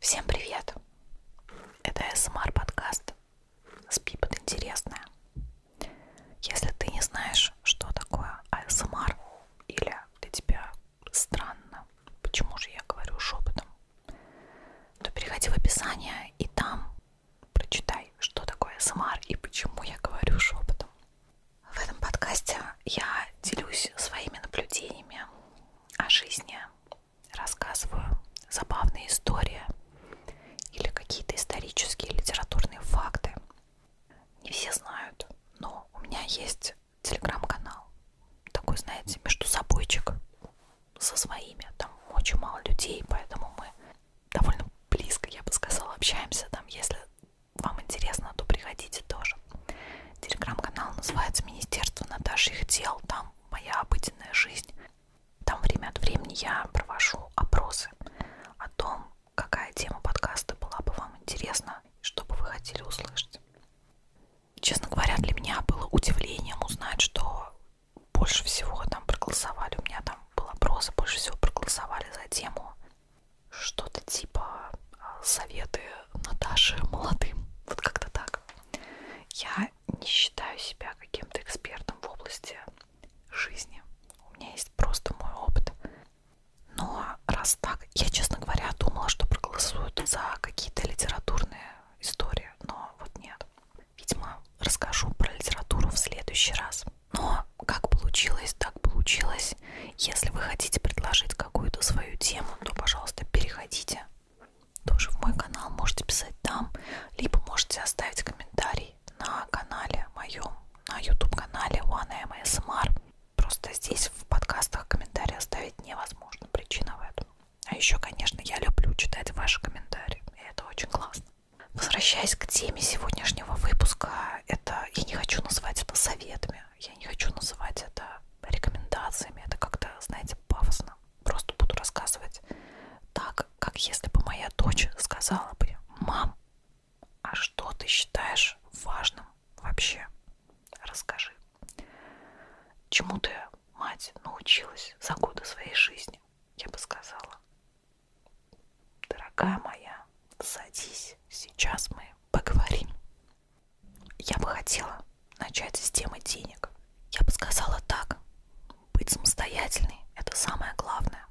Всем привет! Это СМР подкаст «Спи под интересное». Если ты не знаешь, что такое АСМР, или для тебя странно, почему же я говорю шепотом, то переходи в описание и там прочитай, что такое СМР и почему я говорю шепотом. В этом подкасте я делюсь своими наблюдениями о жизни, рассказываю забавные истории или какие-то исторические литературные факты. Не все знают, но у меня есть телеграм-канал. Такой, знаете, между собойчик со своими. Там очень мало людей, поэтому мы довольно близко, я бы сказала, общаемся. Там, если вам интересно, то приходите тоже. Телеграм-канал называется Министерство Наташьих дел. Там моя обыденная жизнь. Там время от времени я провожу опросы о том, какая тема подкаста была бы вам интересна, что бы вы хотели услышать. Честно говоря, для меня было удивлением узнать, что больше всего там проголосовали. У меня там был опрос, больше всего проголосовали за тему что-то типа а, советы Наташи молодым. Вот как-то так. Я не считаю себя каким-то экспертом в области жизни. У меня есть просто мой опыт. Но раз так, я, честно говоря, думала, что проголосуют за какие-то литературные истории, но вот нет. Видимо, расскажу про литературу в следующий раз. Но как получилось, так получилось. Если вы хотите предложить какую-то свою тему, то, пожалуйста, переходите тоже в мой канал, можете писать там, либо можете оставить комментарий на канале моем, на YouTube канале OneMSMR. Просто здесь в подкастах комментарии оставить невозможно, причина в этом. А еще, конечно, я люблю читать ваши комментарии, и это очень классно. Возвращаясь к теме сегодняшнего выпуска, это я не хочу называть это советами, я не хочу называть это рекомендациями, это как-то, знаете, пафосно. Просто буду рассказывать так, как если бы моя дочь сказала бы, мам, а что ты считаешь важным вообще? Расскажи. Чему ты, мать, научилась за годы своей жизни? Я бы сказала. Дорогая моя, садись, сейчас мы поговорим. Я бы хотела начать с темы денег. Я бы сказала так. Быть самостоятельной – это самое главное.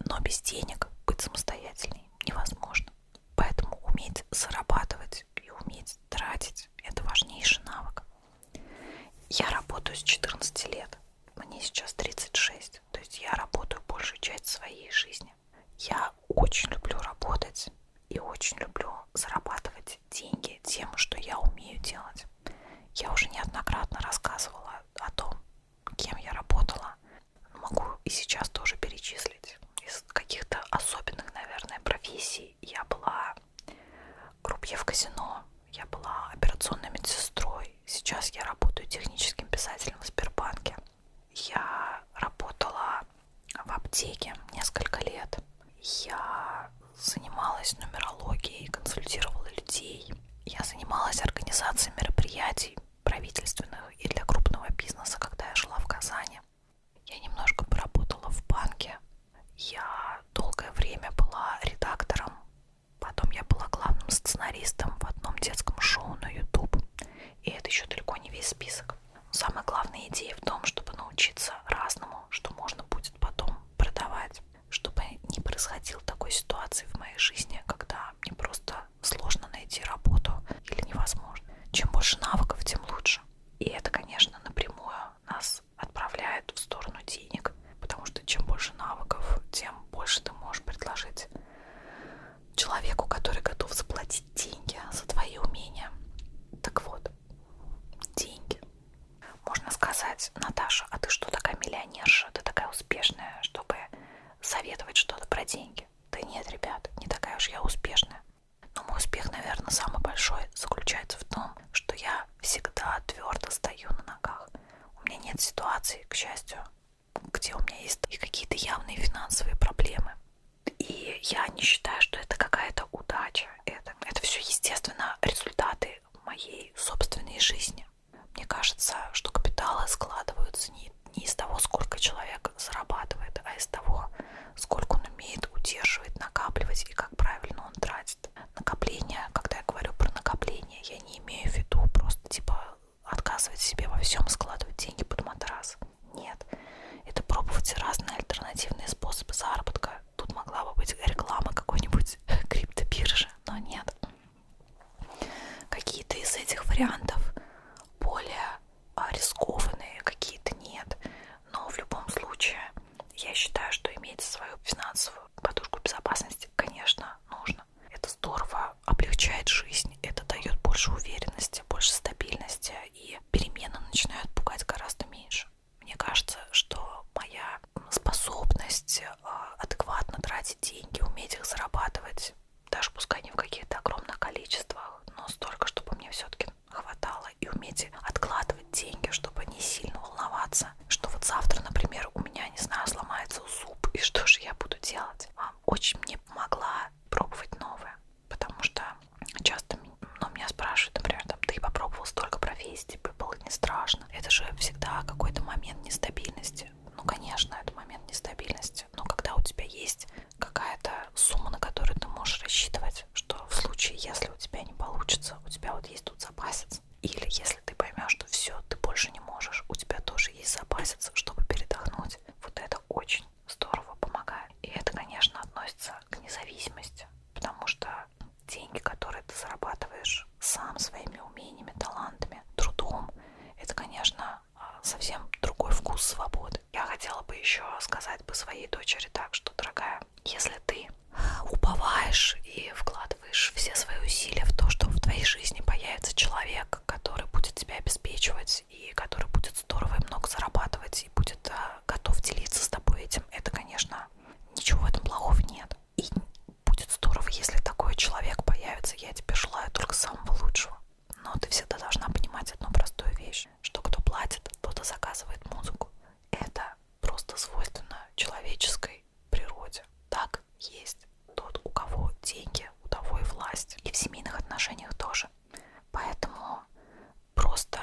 Но без денег быть самостоятельной невозможно. Поэтому уметь зарабатывать и уметь тратить – это важнейший навык. Я работаю с 14 лет. Мне сейчас 36. То есть я работаю большую часть своей жизни. Я очень люблю работать и очень люблю зарабатывать деньги тем, что я умею делать. Я уже неоднократно рассказывала о том, кем я работала. Могу и сейчас тоже перечислить. Из каких-то особенных, наверное, профессий я была крупье в казино, я была операционной медсестрой. Сейчас я работаю техническим писателем в Сбербанке. Я работала в аптеке несколько лет. Я занималась нумерологией, консультировала людей. Я занималась организацией мероприятий правительственных и для крупного бизнеса, когда я жила в Казани. Я немножко поработала в банке. Я долгое время была редактором. Потом я была главным сценаристом в одном детском шоу на YouTube. И это еще далеко не весь список. Самая главная идея в том, чтобы научиться разному, что можно будет потом продавать, чтобы не происходило такой ситуации в моей жизни, когда мне просто сложно найти работу или невозможно. Чем больше навыков, тем лучше. И это, конечно, напрямую нас отправляет в сторону денег, потому что чем больше навыков, тем больше ты можешь предложить человеку, который готов заплатить деньги за твои умения. Так вот, деньги. Можно сказать, Наташа, а ты что такая миллионерша, ты такая успешная, чтобы советовать что-то про деньги? Да нет, ребят, не такая уж я успешная. Но мой успех, наверное, самый большой заключается в том, что я всегда твердо стою на ногах. У меня нет ситуации, к счастью, где у меня есть и какие-то явные финансовые проблемы. И я не считаю, что это какая-то удача. Это, это все, естественно, результаты моей собственной жизни. Мне кажется, что капиталы складываются не, не из того, сколько человек зарабатывает, а из того, сколько он умеет удерживать, накапливать и как правильно он тратит. Накопление, когда я говорю про накопление, я не имею в виду просто типа отказывать себе во всем, складывать деньги под матрас. Нет. Это пробовать разные альтернативные способы заработка. Тут могла бы быть реклама какой-нибудь криптобиржи, но нет. Какие-то из этих вариантов более а, рискованные, какие-то нет. Но в любом случае, я считаю, что иметь свою финансовую подушку безопасности, конечно, нужно. Это здорово облегчает жизнь, это дает больше уверенности, больше стабильности и перемены начинают пугать гораздо меньше. Мне кажется, что моя способность а, адекватно тратить деньги, уметь их зарабатывать, даже пускай не в каких-то огромных количествах, но столько, чтобы мне все-таки хватало, и уметь откладывать деньги, чтобы не сильно волноваться, что вот завтра, например, у меня, не знаю, сломается зуб, и что же я буду делать. А, очень мне помогла пробовать новое потому что часто ну, меня спрашивают, например, там, ты попробовал столько профессий, тебе типа, было не страшно. Это же всегда какой-то момент нестабильности. Ну, конечно, это момент нестабильности, но когда у тебя есть какая-то сумма, на которую ты можешь рассчитывать, что в случае, если у тебя не получится, у тебя вот есть тут запасец, или если ты поймешь, что все, ты больше не можешь, у тебя тоже есть запасец, чтобы передохнуть. Вот это очень здорово помогает. И это, конечно, относится к независимости, потому что деньги, которые ты зарабатываешь сам своими умениями, талантами, трудом, это, конечно, а, совсем другой вкус свободы. Я хотела бы еще сказать бы своей дочери так, что, дорогая, если ты уповаешь и вкладываешь все свои усилия в то, что в твоей жизни появится человек, который будет тебя обеспечивать и который будет здорово и много зарабатывать и будет а, готов делиться с тобой этим, это, конечно, ничего в этом плохого нет. И будет здорово, если такой человек появится. Я тебе желаю только самого лучшего. Но ты всегда должна понимать одну простую вещь, что кто платит, тот и заказывает музыку. Это просто свойственно человеческой природе. Так есть тот, у кого деньги, у того и власть. И в семейных отношениях тоже. Поэтому просто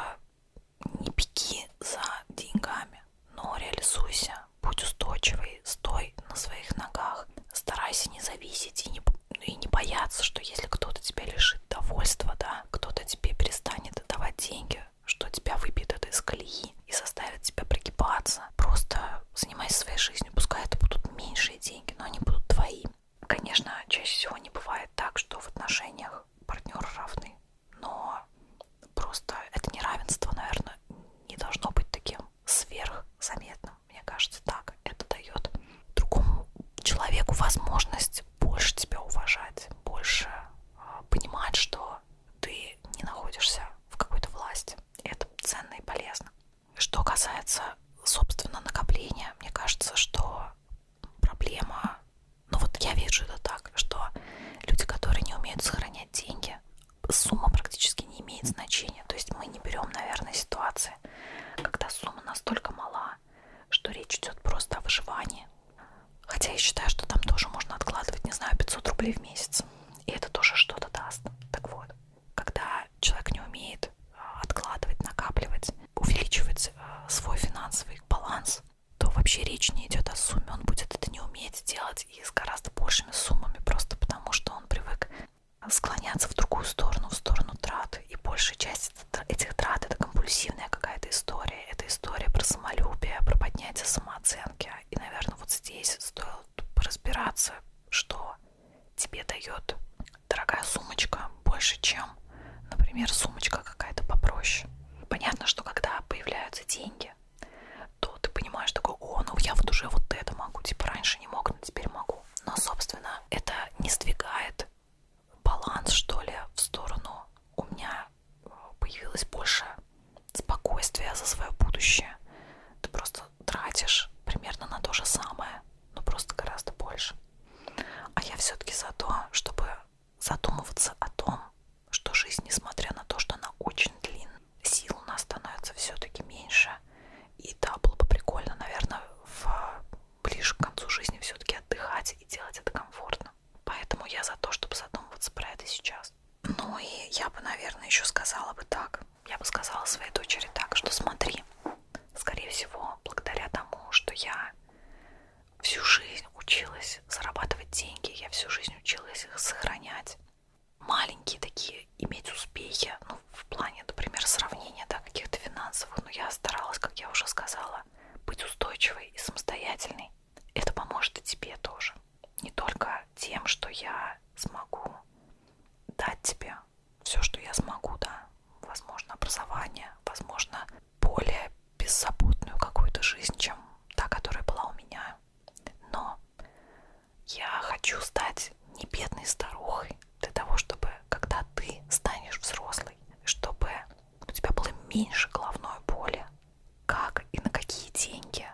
не беги за деньгами, но реализуйся, будь устойчивый, стой на своих ногах, старайся не зависеть и не, и не бояться, что если кто-то тебя лишит довольства, да, кто-то тебе перестанет давать деньги, что тебя выбьет это из колеи и заставит тебя прогибаться. Просто занимайся своей жизнью, пускай это будут меньшие деньги, но они будут твоими. Конечно, чаще всего не бывает так, что в отношениях партнеры равны, но просто это неравенство, наверное, не должно быть таким сверхзаметным. Мне кажется, так это дает другому человеку возможность больше тебя уважать, больше а, понимать, что ты не находишься в какой-то власти. И это ценно и полезно. Что касается, собственно, накопления, мне кажется, что проблема, ну вот я вижу это так, что люди, которые не умеют сохранять деньги, сумма практически не имеет значения. То есть мы не берем, наверное, ситуации, когда сумма настолько мала, что речь идет просто о выживании. Хотя я считаю, что там тоже можно откладывать, не знаю, 500 рублей в месяц. И это тоже что-то даст. Так вот, когда человек не умеет а, откладывать, накапливать, увеличивать э, свой финансовый баланс, то вообще речь не идет о сумме. Он будет это не уметь делать и с гораздо большими суммами, просто потому что он привык склоняться в другую сторону, в сторону трат. И большая часть этих трат это компульсивная какая-то история. Это история про самолюбие, про поднятие самооценки. И, наверное, вот здесь стоит разбираться, что тебе дает дорогая сумочка больше, чем, например, сумочка какая-то попроще. Понятно, что когда появляются деньги, то ты понимаешь такой, о, ну я вот уже вот это могу, типа раньше не мог, но теперь могу. Но, собственно, это не сдвигает баланс, что ли, в сторону. У меня э, появилось больше спокойствия за свое будущее. Ты просто тратишь примерно на то же самое, но просто гораздо больше. А я все-таки за то, чтобы задумываться о том, что жизнь, несмотря на то, что она очень длинная, сил у нас становится все-таки меньше. И да, было бы прикольно, наверное, в... ближе к концу жизни все-таки отдыхать и делать это комфортно. Поэтому я за то, чтобы задумываться про это сейчас. Ну и я бы, наверное, еще сказала бы так. Я бы сказала своей дочери так, что смотри, скорее всего, благодаря тому, что я всю жизнь училась зарабатывать деньги, я всю жизнь училась их сохранять. Маленькие такие, иметь успехи, ну, в плане, например, сравнения, да, каких-то финансовых, но я старалась, как я уже сказала, быть устойчивой и самостоятельной. Это поможет и тебе тоже. Не только тем, что я смогу дать тебе все, что я смогу, да, возможно, образование, возможно, более беззаботную какую-то жизнь, чем та, которая была у меня. Но я хочу стать не бедной старухой для того, чтобы, когда ты станешь взрослой, чтобы у тебя было меньше головной боли, как и на какие деньги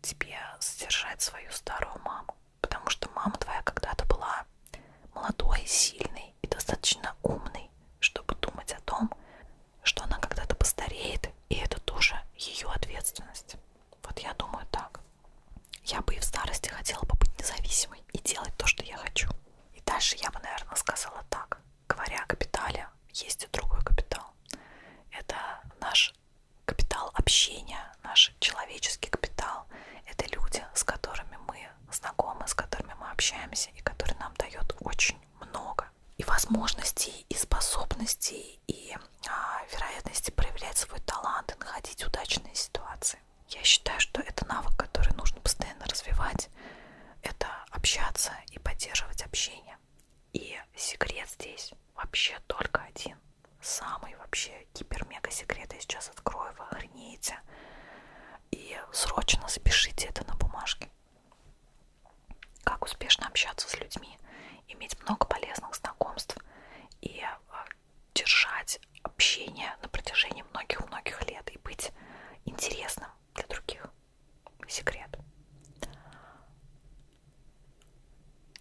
тебе содержать свою старую маму. Потому что мама твоя когда-то была молодой, сильный и достаточно умный, чтобы думать о том, что она когда-то постареет, и это тоже ее ответственность. Вот я думаю так. Я бы и в старости хотела бы быть независимой и делать то, что я хочу. И дальше я бы, наверное, сказала так. Говоря о капитале, есть и другой капитал. Это наш капитал общения, наш человеческий капитал. Это люди, с которыми мы знакомые, с которыми мы общаемся и которые нам дают очень много и возможностей, и способностей, и а, вероятности проявлять свой талант и находить удачные ситуации. Я считаю, что это навык, который нужно постоянно развивать, это общаться и поддерживать общение. И секрет здесь вообще только один. Самый вообще гипер-мега секрет я сейчас открою, вы охренеете и срочно запишите это на бумажке. Как успешно общаться с людьми, иметь много полезных знакомств и э, держать общение на протяжении многих-многих лет и быть интересным для других. Секрет.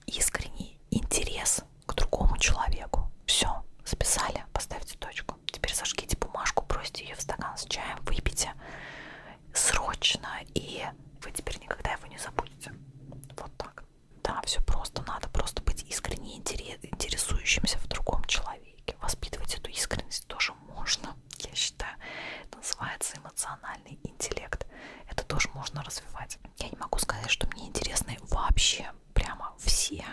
Искренний интерес к другому человеку. Все, записали, поставьте точку бумажку. Теперь сожгите бумажку, бросьте ее в стакан с чаем, выпейте срочно, и вы теперь никогда его не забудете. Вот так. Да, все просто. Надо просто быть искренне интересующимся в другом человеке. Воспитывать эту искренность тоже можно, я считаю. Это называется эмоциональный интеллект. Это тоже можно развивать. Я не могу сказать, что мне интересны вообще прямо все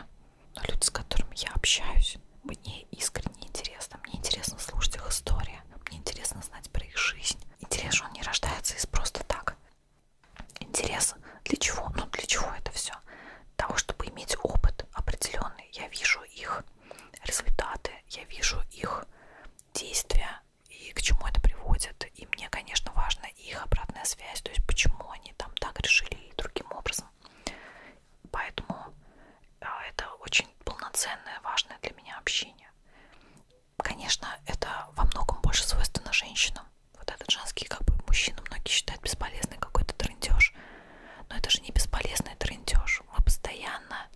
но а люди, с которыми я общаюсь, мне искренне интересно. Мне интересно слушать их истории. Мне интересно знать про их жизнь. Интерес же он не рождается из просто так. Интерес для чего? Ну, для чего это все? Для того, чтобы иметь опыт определенный. Я вижу их результаты, я вижу их действия и к чему это приводит. И мне, конечно, важна их обратная связь, то есть почему они там так решили и другим образом Поэтому э, это очень полноценное, важное для меня общение. Конечно, это во многом больше свойственно женщинам. Вот этот женский, как бы, мужчина многие считают бесполезный какой-то трындеж. Но это же не бесполезный трындеж. Мы постоянно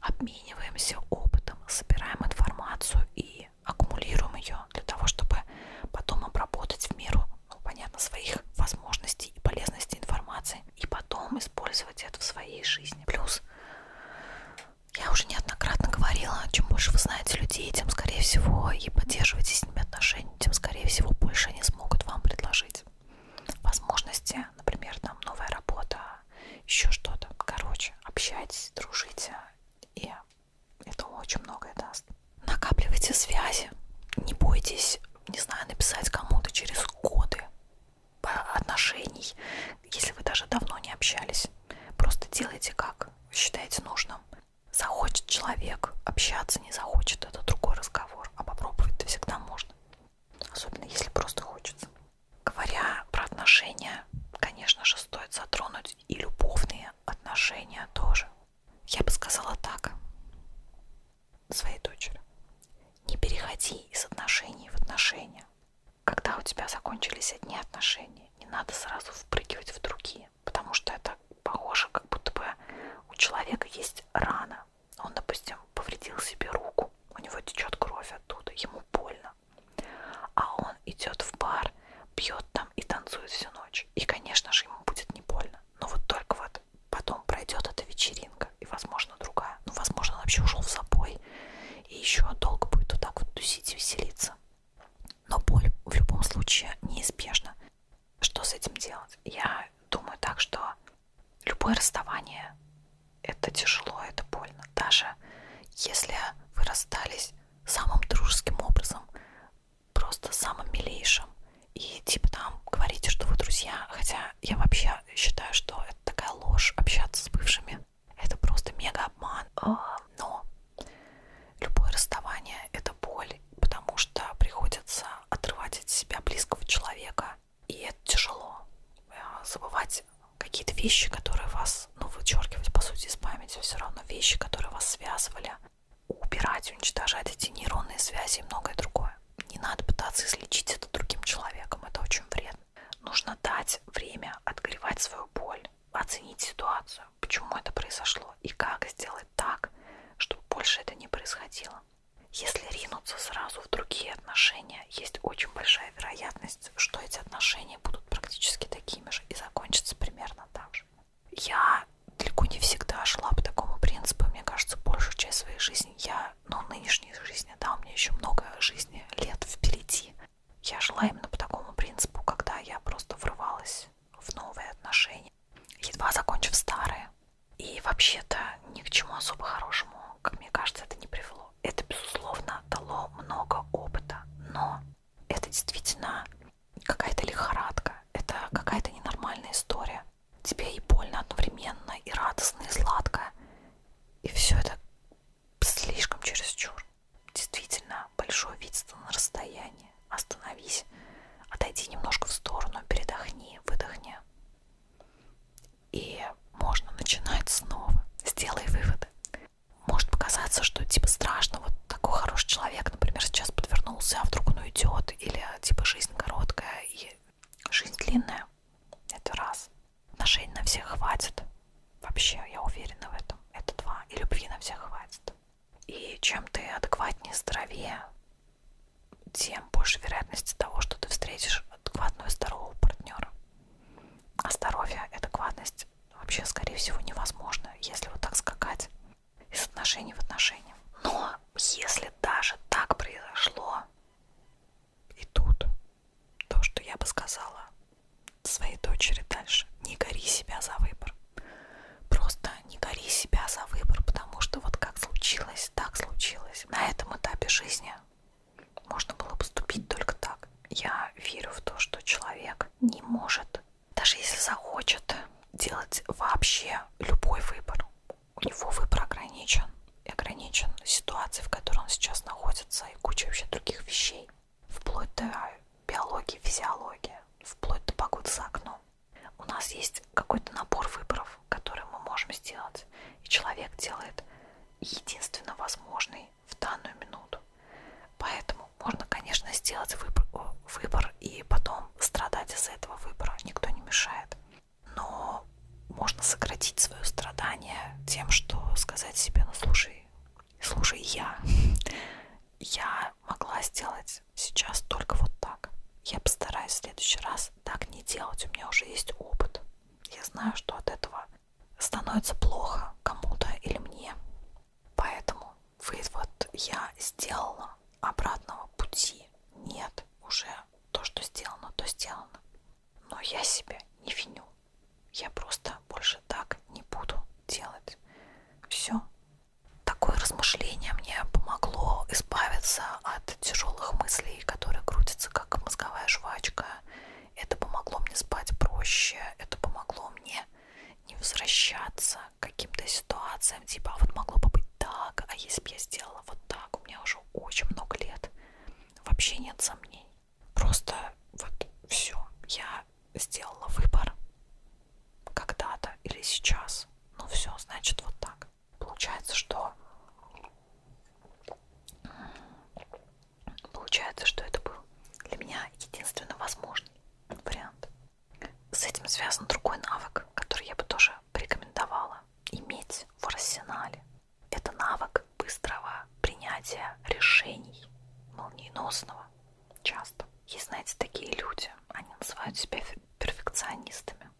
обмениваемся опытом, собираем информацию и аккумулируем ее для того, чтобы потом обработать в меру ну, понятно, своих возможностей и полезности информации, и потом использовать это в своей жизни. Плюс я уже неоднократно говорила, чем больше вы знаете людей, тем, скорее всего, и поддерживаете с ними отношения, тем, скорее всего, больше они смогут вам предложить возможности, например, там новая работа, еще что-то. Короче, общайтесь, дружите и это очень многое даст. Накапливайте связи. Не бойтесь, не знаю, написать кому-то через годы отношений, если вы даже давно не общались. Просто делайте как считаете нужным. Захочет человек общаться, не захочет, это другой разговор. А попробовать-то всегда можно. Особенно если просто хочется. Говоря про отношения, конечно же, стоит затронуть и любовные отношения тоже я бы сказала так своей дочери. Не переходи из отношений в отношения. Когда у тебя закончились одни отношения, не надо сразу впрыгивать в другие, потому что это похоже, как будто бы у человека есть рана. Он, допустим, повредил себе руку, у него течет кровь оттуда, ему больно. А он идет в бар, пьет там и танцует всю ночь. И, конечно же, ему будет не больно но вот только вот потом пройдет эта вечеринка и, возможно, другая. Ну, возможно, он вообще ушел в запой и еще долго будет вот так вот тусить и веселиться. Но боль в любом случае неизбежна. Что с этим делать? Я думаю так, что любое расставание – это тяжело, это больно. Даже если вы расстались самым дружеским образом, просто самым милейшим. И типа там говорите, что вы друзья, хотя я вообще считаю, что это такая ложь общаться с бывшими. Это просто мега обман. А, но любое расставание это боль, потому что приходится отрывать от себя близкого человека. И это тяжело. Э, забывать какие-то вещи, которые вас, ну, вычеркивать по сути из памяти, все равно вещи, которые вас связывали, убирать, уничтожать эти нейронные связи и многое другое. Не надо пытаться излечить это другим человеком, это очень вредно. Нужно дать время отгревать свою боль, оценить ситуацию, почему это произошло и как сделать так, чтобы больше это не происходило. Если ринуться сразу в другие отношения, есть очень большая вероятность, что эти отношения будут практически такими же и закончатся примерно так же я далеко не всегда шла по такому принципу. Мне кажется, большую часть своей жизни я, ну, нынешней жизни, да, у меня еще много жизни, лет впереди. Я шла именно по такому принципу, когда я просто врывалась в новые отношения, едва закончив старые. И вообще-то ни к чему особо хорошему, как мне кажется, это не привело. Это, безусловно, дало много опыта, но это действительно какая-то лихорадка, это какая-то ненормальная история. Тебе и больно одновременно, и радостно, и сладко. И все это слишком чересчур. Действительно, большое видство на расстоянии. Остановись, отойди немножко в сторону, передохни, выдохни. И можно начинать снова. Сделай выводы. Может показаться, что типа страшно, вот такой хороший человек, человек, например, сейчас подвернулся, а вдруг он уйдет, или типа жизнь короткая и жизнь длинная, это раз. Отношений на всех хватит, вообще, я уверена в этом, это два, и любви на всех хватит. И чем ты адекватнее, здоровее, тем больше вероятности того, что ты встретишь адекватного здорового партнера. А здоровье, адекватность вообще, скорее всего, невозможно, если вот так скакать из отношений в отношения. Но если даже так произошло, и тут то, что я бы сказала своей дочери дальше, не гори себя за выбор. Просто не гори себя за выбор, потому что вот как случилось, так случилось. На этом этапе жизни можно было поступить только так. Я верю в то, что человек не может даже если захочет делать вообще любой выбор, у него выбор ограничен. И ограничен ситуацией, в которой он сейчас находится, и куча вообще других вещей. Вплоть до биологии, физиологии, вплоть до погоды за окном. У нас есть какой-то набор выборов, которые мы можем сделать. И человек делает единственно возможный в данную минуту. Поэтому Поэтому можно, конечно, сделать выбор, э, выбор и потом страдать из-за этого выбора. Никто не мешает. Но можно сократить свое страдание тем, что сказать себе, ну слушай, слушай, я, я могла сделать сейчас только вот так. Я постараюсь в следующий раз так не делать. У меня уже есть опыт. Я знаю, что от этого становится плохо кому-то или мне. Поэтому вывод я сделала, обратного пути нет уже. То, что сделано, то сделано. Но я себя не виню. Я просто больше так не буду делать. Все. Такое размышление мне помогло избавиться от тяжелых мыслей, которые крутятся как мозговая жвачка. Это помогло мне спать проще, это помогло мне не возвращаться каким-то ситуациям, типа, а вот могло бы быть так, а если бы я сделала вот так, у меня уже очень много лет, вообще нет сомнений. Просто вот все, я сделала выбор когда-то или сейчас, ну все, значит вот так. Получается, что получается, что это был для меня единственно возможный вариант. С этим связан другой навык, который я бы тоже порекомендовала иметь в арсенале. Это навык быстрого принятия решений, молниеносного, часто. Есть, знаете, такие люди, они называют себя перфекционистами.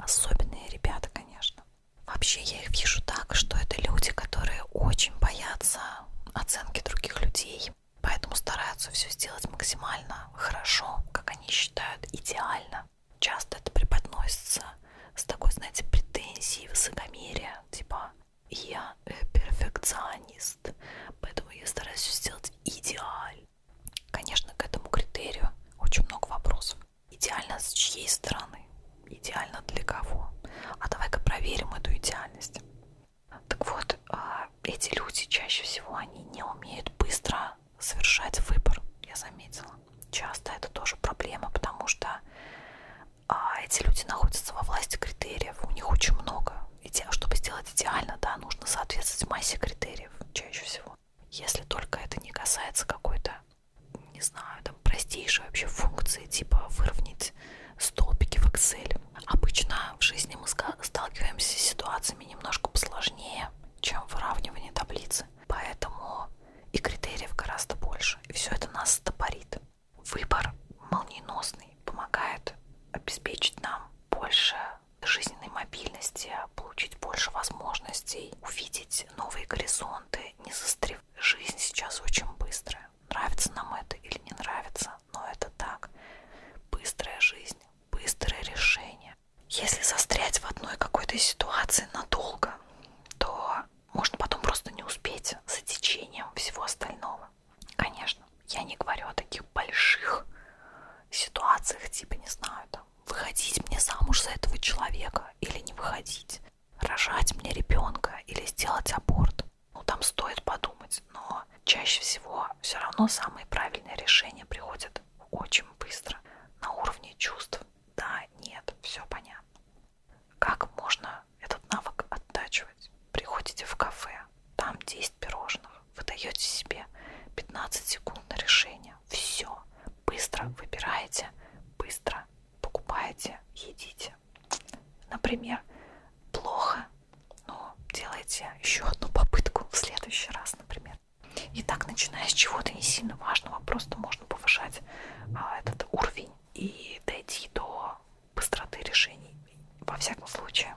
Особенные ребята, конечно. Вообще я их вижу так, что это люди, которые очень боятся оценки других людей, делать. Поэтому стараются все сделать максимально хорошо, как они считают, идеально. Часто это преподносится с такой, знаете, претензией, высокомерия, типа «я э, перфекционист, поэтому я стараюсь все сделать идеально». Конечно, к этому критерию очень много вопросов. Идеально с чьей стороны? Идеально для кого? А давай-ка проверим эту идеальность. Так вот, а, эти люди чаще всего они не умеют быстро совершать выбор, я заметила. Часто это тоже проблема, потому что а, эти люди находятся во власти критериев, у них очень много. И чтобы сделать идеально, да, нужно соответствовать массе критериев чаще всего. Если только это не касается какой-то, не знаю, там простейшей вообще функции, типа выровнять столбики в Excel Обычно в жизни мы сталкиваемся с ситуациями немножко посложнее, чем выравнивание таблицы. Поэтому и критериев гораздо больше. И все это нас стопорит. Выбор молниеносный помогает обеспечить нам больше жизненной мобильности, получить больше возможностей, увидеть новые горизонты, не застревать. Жизнь сейчас очень быстрая. Нравится нам это или не нравится, но это так. Быстрая жизнь, быстрое решение. Если застрять в одной какой-то ситуации надолго, то можно потом просто не успеть за течением всего остального. Конечно, я не говорю о таких больших ситуациях, типа, не знаю, там, выходить мне замуж за этого человека или не выходить, рожать мне ребенка или сделать аборт. Ну, там стоит подумать, но чаще всего все равно самые правильные решения приходят очень быстро, на уровне чувств. Да, нет, все понятно. Как можно этот навык оттачивать? Приходите в кафе, там 10 пирожных, вы даете себе 15 секунд на решение, все, быстро выбираете, быстро покупаете, едите. Например, плохо но ну, делайте еще одну попытку в следующий раз, например. И так, начиная с чего-то не сильно важного, просто можно повышать а, этот уровень и дойти до быстроты решений. Во всяком случае,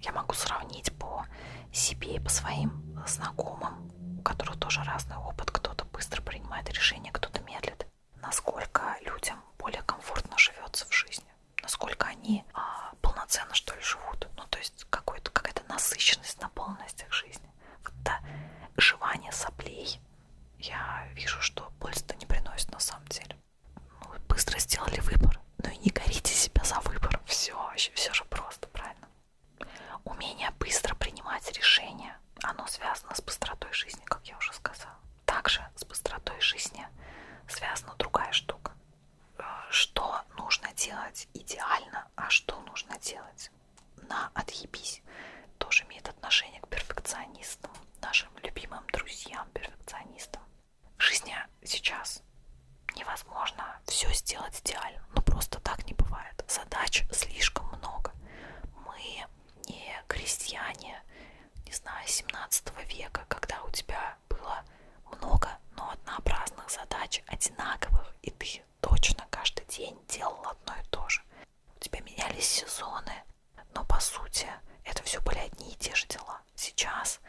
я могу сравнить по себе и по своим знакомым, у которых тоже разный опыт. Кто-то быстро принимает решение, кто-то медлит. Насколько людям более комфортно живется в жизни насколько они а, полноценно что ли живут. Ну, то есть какой-то, какая-то насыщенность, наполненность их жизни. Вот это жевание соплей, я вижу, что пользы-то не приносит на самом деле. Ну, быстро сделали выбор. Ну и не горите себя за выбор. Все, еще все же просто, правильно? Умение быстро принимать решения, оно связано с быстротой жизни, как я уже сказала. Также с быстротой жизни связана другая штука что нужно делать идеально, а что нужно делать на отъебись. Тоже имеет отношение к перфекционистам, нашим любимым друзьям-перфекционистам. Жизнь сейчас невозможно все сделать идеально, но ну, просто так не бывает. Задач слишком много. Мы не крестьяне, не знаю, 17 века, когда у тебя было много, но однообразных задач, одинаковых, и ты точно каждый день делал одно и то же. У тебя менялись сезоны, но по сути это все были одни и те же дела. Сейчас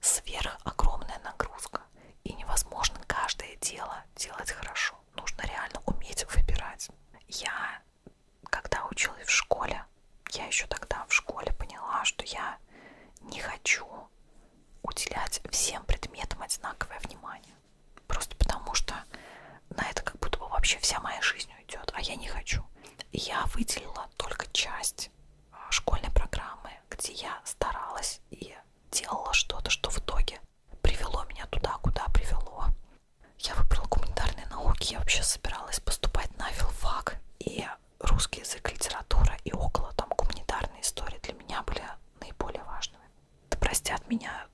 сверх огромная нагрузка, и невозможно каждое дело делать хорошо. Нужно реально уметь выбирать. Я, когда училась в школе, я еще тогда в школе поняла, что я не хочу уделять всем предметам одинаковое внимание. Просто потому что на это как будто бы вообще вся моя жизнь уйдет, а я не хочу. Я выделила только часть а, школьной программы, где я старалась и делала что-то, что в итоге привело меня туда, куда привело. Я выбрала гуманитарные науки, я вообще собиралась поступать на филфак, и русский язык, литература и около там гуманитарные истории для меня были наиболее важными. Да простят меня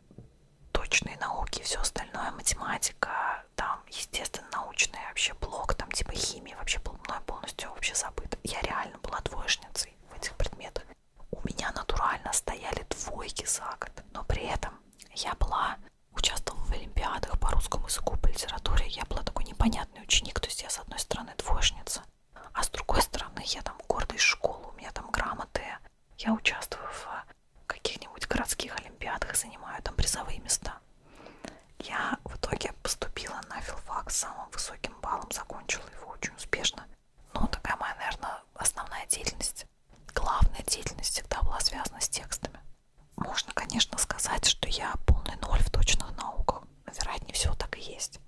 точные науки, все остальное, математика, там, естественно, научный вообще блок, там, типа химии вообще был мной полностью вообще забыт. Я реально была двоечницей в этих предметах. У меня натурально стояли двойки за год, но при этом я была, участвовала в олимпиадах по русскому языку, по литературе, я была такой непонятной бессмертный ученик, то есть я с одной стороны двоечница, а с другой стороны я там гордый школы, у меня там грамоты, я участвую в каких-нибудь городских олимпиадах, занимаю там призовые места. Я в итоге поступила на филфак с самым высоким баллом, закончила его очень успешно. Но ну, такая моя, наверное, основная деятельность, главная деятельность всегда была связана с текстами. Можно, конечно, сказать, что я полный ноль в точных науках. Но, вероятнее всего, так и есть.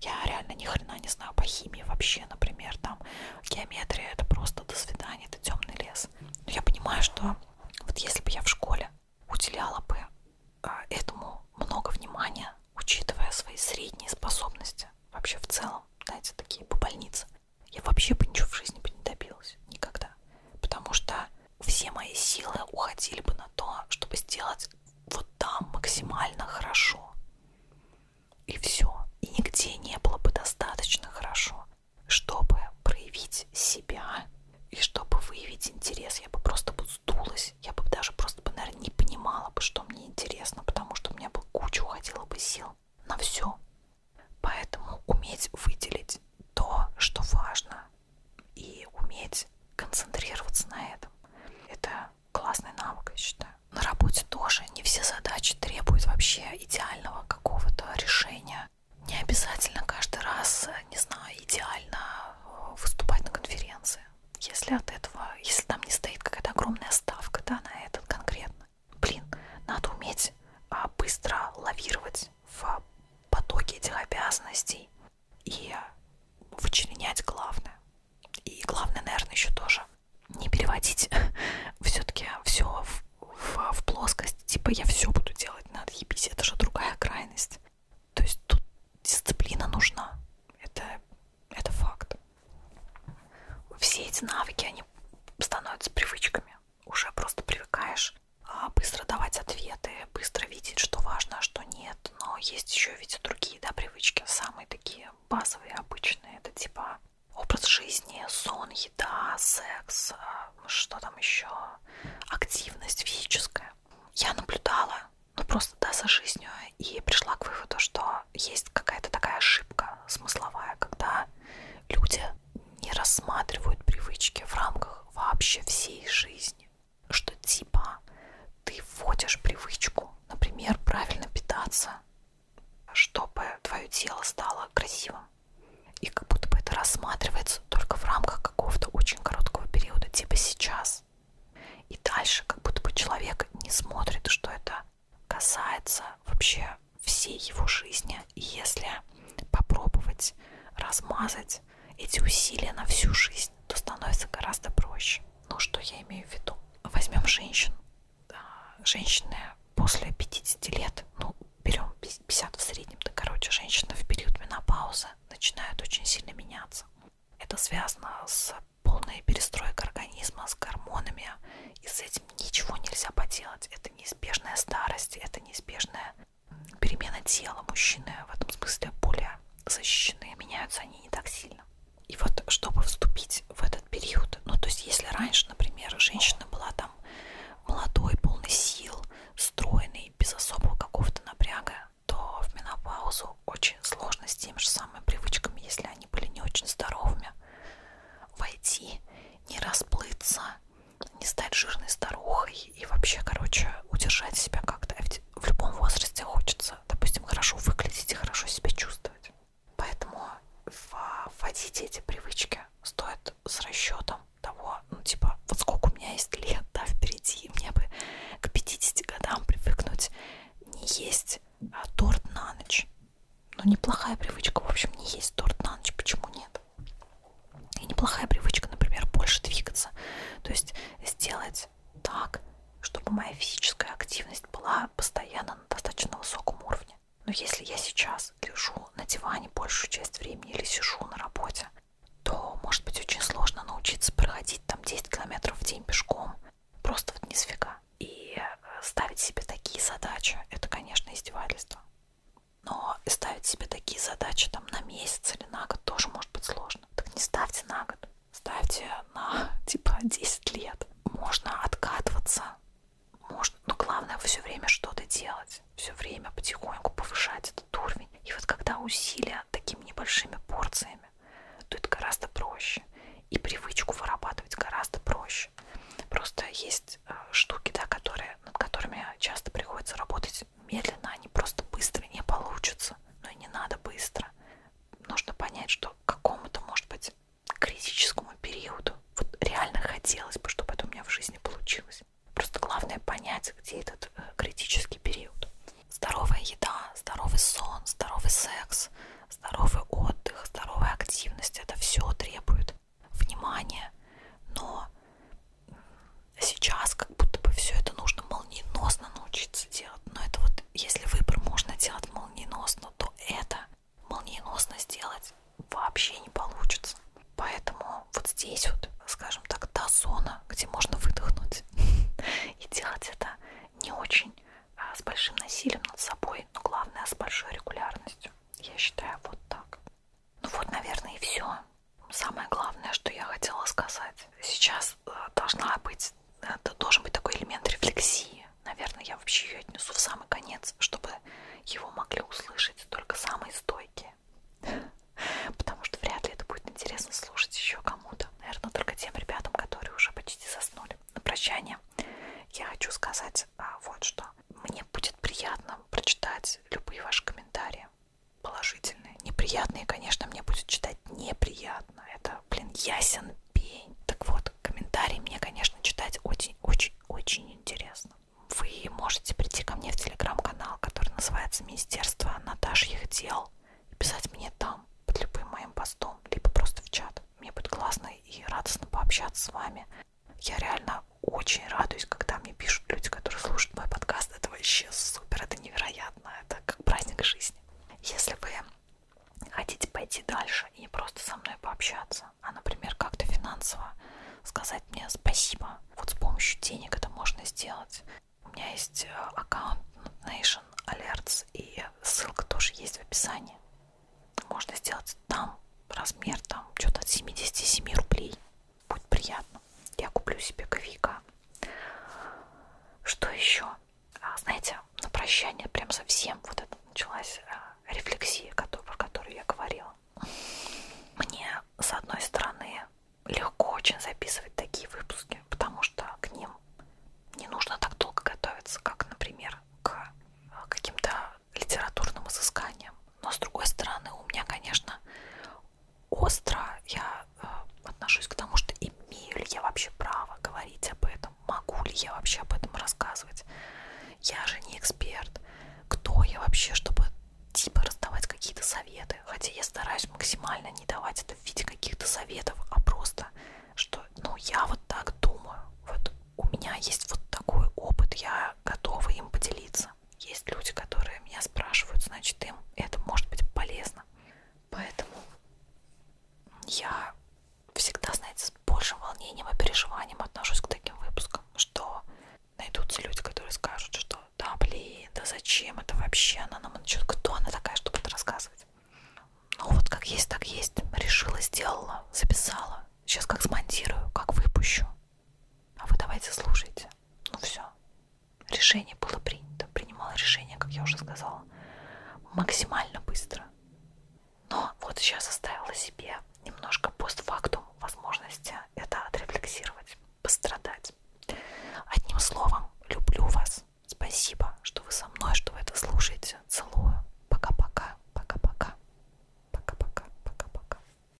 Я реально ни хрена не знаю по химии вообще, например, там геометрия это просто до свидания, это темный лес. Но я понимаю, что вот если бы я в школе уделяла бы а, этому много внимания, учитывая свои средние способности вообще в целом, знаете, такие по больнице, я вообще бы ничего в жизни бы не добилась никогда. Потому что все мои силы уходили бы на то, чтобы сделать вот там максимально хорошо. И все. И нигде не было бы достаточно хорошо, чтобы проявить себя и чтобы выявить интерес. Я бы просто бы сдулась, я бы даже просто бы, наверное, не понимала бы, что мне интересно, потому что у меня бы куча уходила бы сил на все. Поэтому уметь выделить то, что важно, и уметь концентрироваться на этом. Это классный навык, я считаю. На работе тоже не все задачи требуют вообще идеального какого-то решения. Не обязательно каждый раз, не знаю, идеально э, выступать на конференции. Если от этого, если там не стоит какая-то огромная ставка, да, на этот конкретно. Блин, надо уметь а, быстро лавировать в потоке этих обязанностей и вычленять главное. И главное, наверное, еще тоже не переводить все-таки все в, в, в плоскость, типа я все буду делать, надо ебись, это же другая крайность. То есть тут дисциплина нужна, это, это факт. Все эти навыки, они становятся привычками, уже просто привыкаешь а, быстро давать ответы, быстро видеть, что важно, а что нет. Но есть еще ведь другие да, привычки, самые такие базовые, обычные. Это типа образ жизни, сон, еда, секс, а, что там еще, активность физическая. Я наблюдала, ну просто да, за жизнью и пришла к выводу, что есть какая-то такая ошибка смысловая, когда люди не рассматривают привычки в рамках вообще всей жизни. Что типа ты вводишь привычку, например, правильно питаться, чтобы твое тело стало красивым. И как будто бы это рассматривается только в рамках какого-то очень короткого периода, типа сейчас. И дальше как будто бы человек не смотрит, что это касается вообще всей его жизни и если попробовать размазать эти усилия на всю жизнь, то становится гораздо проще. Ну, что я имею в виду? Возьмем женщин. Женщины после 50 лет, ну, берем 50 в среднем, да, короче, женщины в период менопаузы начинают очень сильно меняться. Это связано с полной перестройкой организма, с гормонами, и с этим ничего нельзя поделать. Это неизбежная старость, это неизбежная перемена тела мужчины в этом смысле более защищены, меняются они не так сильно. И вот чтобы вступить в этот период, ну то есть если раньше, например, женщина была там молодой, полной сил, стройной, без особого какого-то напряга, то в менопаузу очень сложно с теми же самыми привычками, если они были не очень здоровыми, войти, не расплыться, не стать жирной старухой и вообще, короче, удержать себя как-то. А ведь в любом возрасте хочется, допустим, хорошо выглядеть и хорошо себя чувствовать. Поэтому вводите эти привычки стоит с расчетом того, ну, типа, вот сколько у меня есть лет, да, впереди, мне бы к 50 годам привыкнуть не есть а, торт на ночь. Ну, неплохая привычка, в общем, не есть торт на ночь, почему нет? И неплохая привычка, например, больше двигаться. То есть сделать так, чтобы моя физическая активность была постоянно на достаточно высоком уровне. Но если я сейчас лежу на диване большую часть времени или сижу на работе, то может быть очень сложно научиться проходить там 10 километров в день пешком. Просто вот ни сфига. И э, ставить себе такие задачи, это, конечно, издевательство. Но ставить себе такие задачи там на месяц или на год тоже может быть сложно. Так не ставьте на год, ставьте на типа 10 лет. Можно откатываться, можно, но ну, главное все время что-то делать, все время потихоньку повышать этот уровень. И вот когда усилия такими небольшими порциями, то это гораздо проще. И привычку вырабатывать гораздо проще. Просто есть э, штуки, да, которые, над которыми часто приходится работать делать медленно, они просто быстро не получатся. Но ну и не надо быстро. Нужно понять, что к какому-то, может быть, критическому периоду вот реально хотелось бы, чтобы это у меня в жизни получилось. Просто главное понять, где этот э, критический период. Здоровая еда, здоровый сон, здоровый секс, здоровый отдых, здоровая активность. Это все требует внимание, но сейчас как будто бы все это нужно молниеносно научиться делать. Но это вот, если выбор можно делать молниеносно, то это молниеносно сделать вообще не получится. Поэтому вот здесь вот, скажем так, та зона, где можно выдохнуть и делать это не очень а с большим насилием над собой, но главное с большой регулярностью. Я считаю вот так. Ну вот, наверное, и все самое главное, что я хотела сказать. Сейчас э, должна быть, должен быть такой элемент рефлексии. Наверное, я вообще ее отнесу в самый конец, чтобы его могли услышать только самые стойкие. Потому что вряд ли это будет интересно слушать еще кому-то. Наверное, только тем ребятам, которые уже почти заснули. На прощание я хочу сказать а, вот что. Мне будет приятно прочитать любые ваши комментарии положительные. Неприятные, конечно, мне будет читать неприятно. Это, блин, ясен пень. Так вот, комментарии мне, конечно, читать очень-очень-очень интересно. Вы можете прийти ко мне в телеграм-канал, который называется «Министерство Наташьих дел», и писать мне там под любым моим постом, либо просто в чат. Мне будет классно и радостно пообщаться с вами. Я реально очень радуюсь, когда мне пишут люди, которые слушают мой подкаст. Это вообще супер, это невероятно, это как праздник жизни. Если вы хотите пойти дальше и не просто со мной пообщаться, а, например, как-то финансово сказать мне спасибо, вот с помощью денег это можно сделать. У меня есть э, аккаунт Nation Alerts, и ссылка тоже есть в описании. Можно сделать там размер, там, что-то от 77 рублей будет приятно. Я куплю себе ковика. Что еще? А, знаете, на прощание прям совсем вот это началась а, рефлексия, про которую я говорила. Мне, с одной стороны, легко очень записывать такие выпуски, потому что к ним не нужно так долго готовиться, как, например, к а, каким-то литературным изысканиям. Но, с другой стороны, у меня, конечно, остро я э, отношусь к тому, что имею ли я вообще право говорить об этом, могу ли я вообще об этом рассказывать. Я же не эксперт. Кто я вообще, чтобы типа раздавать какие-то советы? Хотя я стараюсь максимально не давать это в виде каких-то советов, а просто, что, ну, я вот так думаю. Вот у меня есть вот такой опыт, я готова им поделиться есть люди, которые меня спрашивают, значит, им это может быть полезно. Поэтому я всегда, знаете, с большим волнением и переживанием отношусь к таким выпускам, что найдутся люди, которые скажут, что да блин, да зачем это вообще, она нам начнет, кто она такая, чтобы это рассказывать. Ну вот как есть, так есть, решила, сделала, записала, сейчас как смонтирую, как выпущу. А вы давайте слушайте. Ну все. Решение было принято. Принимала решение, как я уже сказала, максимально быстро. Но вот сейчас оставила себе немножко постфактум возможности это отрефлексировать, пострадать. Одним словом, люблю вас. Спасибо, что вы со мной, что вы это слушаете. Целую. Пока-пока. Пока-пока. Пока-пока. Пока-пока.